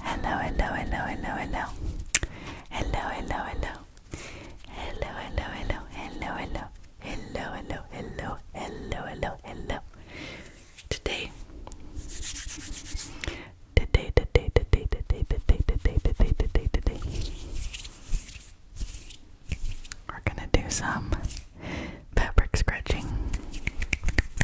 Hello, hello, hello, hello, hello. Hello, hello, hello. Hello, hello, hello, hello, hello. Hello, hello, hello, hello, hello, hello. Today. Today, today, today, today, today, today, today, today, today. We're gonna do some fabric scratching.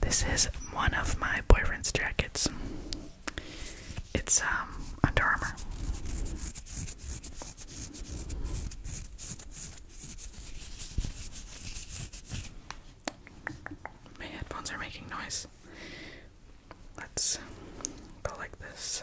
This is one of my boyfriend's jackets. It's um Under Armour. My headphones are making noise. Let's go like this.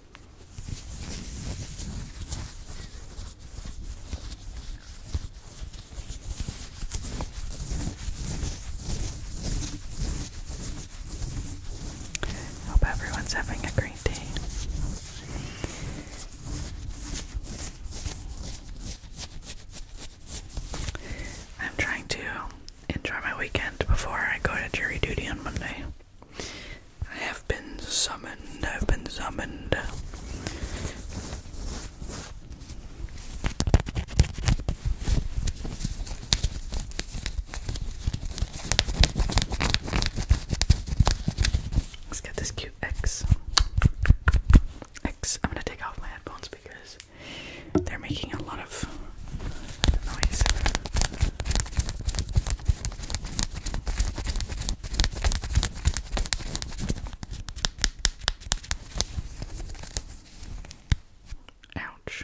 Hope everyone's having a great day. I'm trying to enjoy my weekend before I go to jury duty on Monday. I have been summoned. I've been summoned. Let's get this cute X. X. I'm gonna take off my headphones because they're making a lot of the noise. Ouch.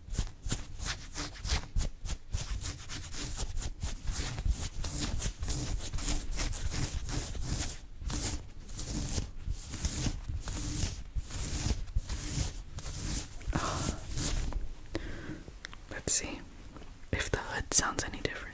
Let's see if the hood sounds any different.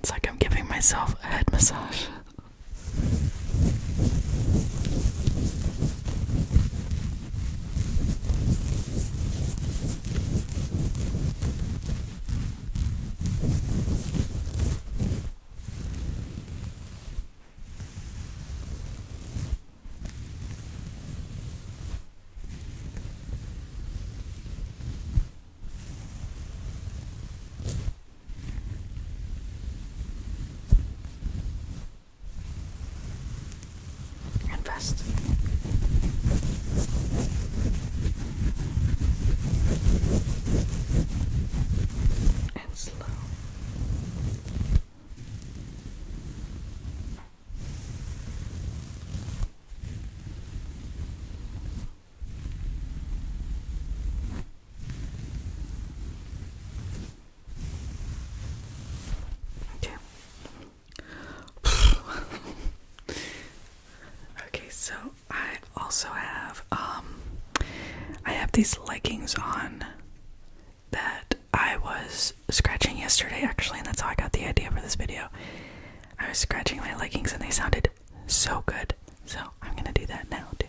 It's like I'm giving myself a head massage. And fast and slow. Okay. okay, so I also have um I have these leggings on that I was scratching yesterday actually and that's how I got the idea for this video. I was scratching my leggings and they sounded so good. So I'm gonna do that now too.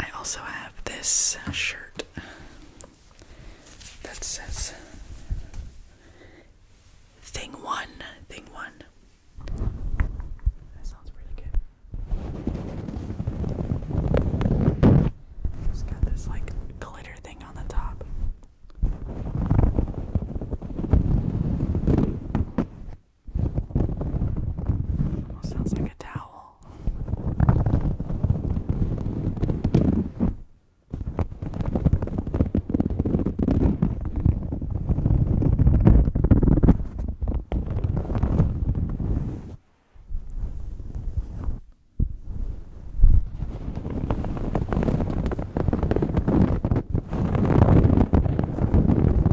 I also have this uh, shirt that says Thing One, Thing One. That sounds pretty good. It's got this like glitter thing on the top. Almost sounds like a towel. All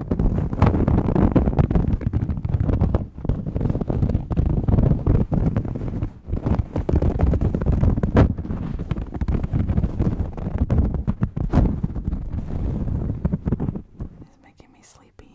It's making me sleepy.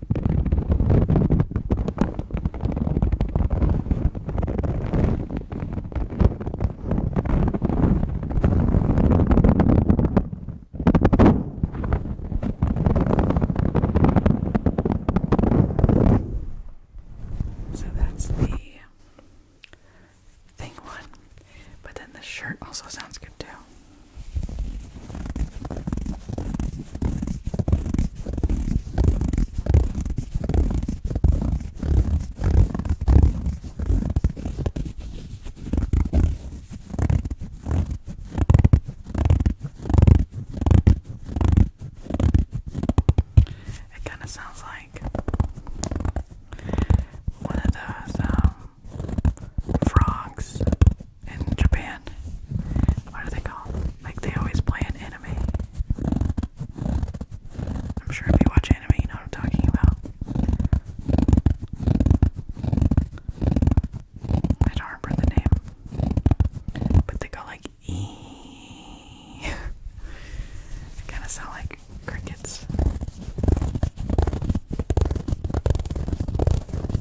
So that's the thing one. But then the shirt also sounds good too. It kind of sounds like one of those um, frogs in Japan. What are they called? Like they always play an anime. I'm sure if you watch anime, you know what I'm talking about. I don't remember the name, but they go like e. they kind of sound like crickets.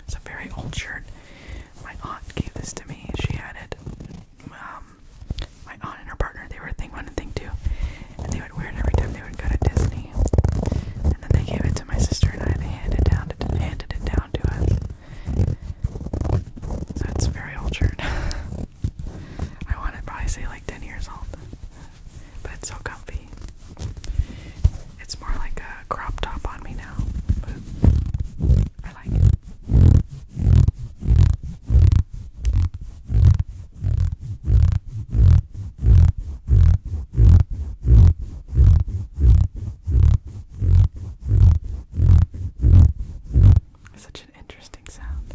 It's a very old shirt. My aunt gave this to me. She had it. Um, my aunt and her partner, they were a thing one and thing two. And they would wear it every time they would go to Disney. And then they gave it to my sister and I. They handed, down handed it down to us. So it's a very old shirt. I want it probably say like 10 years old. But it's so comfy. It's more like a crop top on me now, but I like it. Such an interesting sound.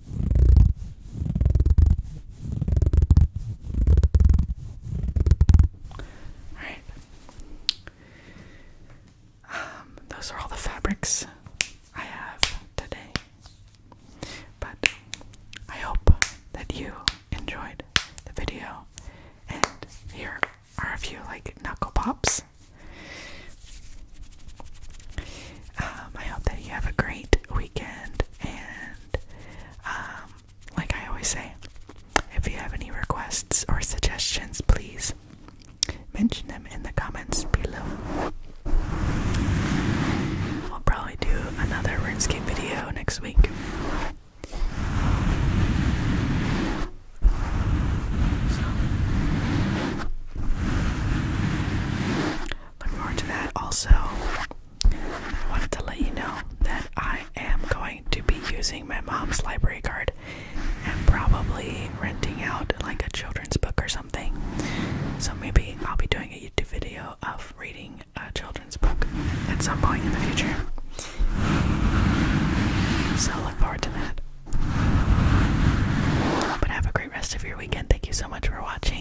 Alright. Um, those are all the fabrics I have today. But I hope that you enjoyed the video. And here are a few like knuckle pops. Um, I hope that you have a great weekend and um, like I always say, if you have any requests or suggestions, please mention them in the comments below. i will probably do another RuneScape video next week. Look forward to that. Also, I wanted to let you know that I am going to be using my mom's library card and probably renting out like a children's book or something. So maybe I'll be doing a YouTube video of reading a children's book at some point in the future. So look forward to that. But have a great rest of your weekend. Thank you so much for watching.